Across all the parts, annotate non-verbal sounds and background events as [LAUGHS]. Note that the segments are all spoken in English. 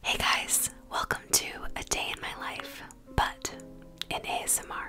Hey guys, welcome to A Day in My Life, but in ASMR.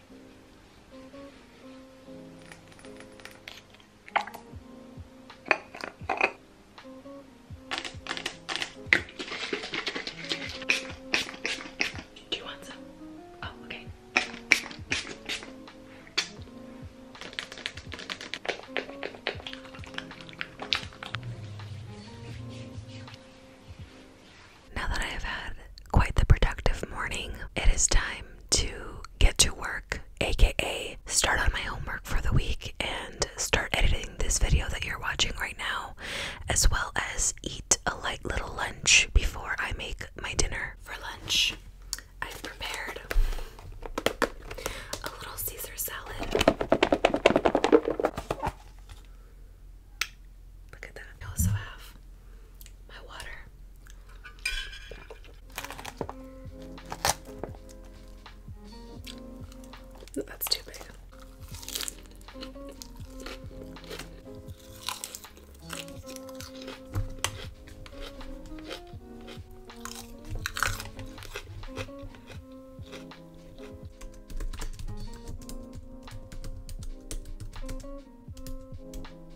Do you want some? Oh, okay. Now that I have had quite the productive morning, it is time to get to work, aka start on my homework for the week and start editing this video that you're watching right now, as well as eat a light little lunch before I make my dinner. For lunch, I've prepared a little Caesar salad. Look at that. I also have my water that's too big.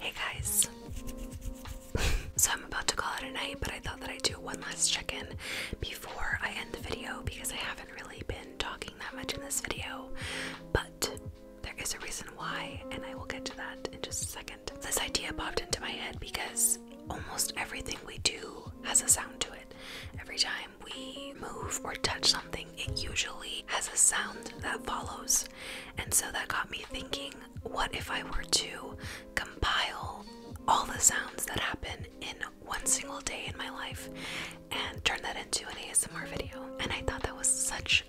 Hey guys. [LAUGHS] so I'm about to call it a night, but I thought that I'd do one last check in before I end the video because I haven't really been talking that much in this video. But there is a reason why, and I will get to that in just a second. This idea popped into my head because almost everything we do has a sound to it. Every time we move or touch something, it usually has a sound that follows. And so that got me thinking what if I were to compile all the sounds that happen in one single day in my life and turn that into an ASMR video? And I thought that was such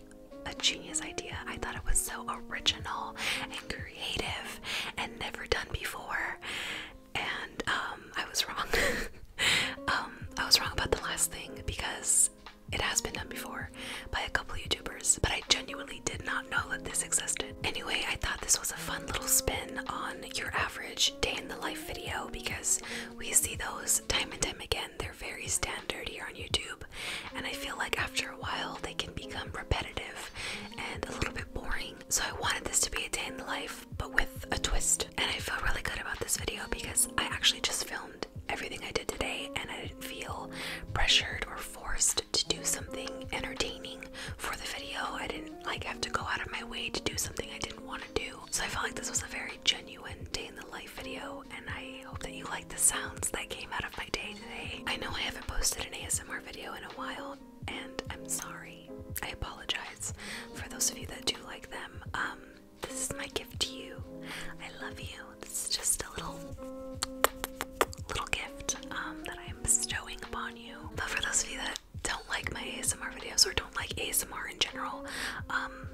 a genius idea. I thought it was so original and creative and never done before and um, I was wrong. [LAUGHS] Um, I was wrong about the last thing because it has been done before by a couple YouTubers, but I genuinely did not know that this existed. Anyway, I thought this was a fun little spin on your average day in the life video because we see those time and time again. They're very standard here on YouTube, and I feel like after a while they can become repetitive and a little bit boring so I wanted this to be a day in the life, but with a twist. And I feel really good about this video because I actually just filmed everything I did today and I didn't feel pressured or forced to do something entertaining for the video. I didn't like have to go out of my way to do something I didn't want to do. So I felt like this was a very genuine day in the life video and I hope that you like the sounds that came out of my day today. I know I haven't posted an ASMR video in a while and I'm sorry. I apologize for those of you that do like them. Um, this is my gift to you. I love you. This is just a little little gift um, that I am bestowing upon you. But for those of you that don't like my ASMR videos or don't like ASMR in general, um,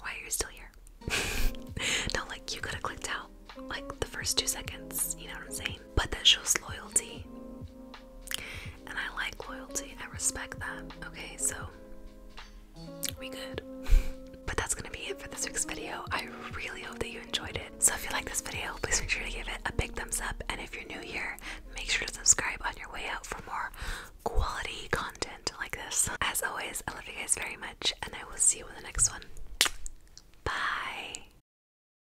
why are you still here? [LAUGHS] no, like you could have clicked out like the first two seconds, you know what I'm saying? But that shows loyalty and I like loyalty. I respect that. Okay, so we good. [LAUGHS] but that's gonna be it for this week's video. I really hope that you enjoyed it. So if you like this video, please make sure to give it a big thumbs up. And if you're new here, make sure to subscribe on your way out for more quality content like this. As always, I love you guys very much, and I will see you in the next one. Bye.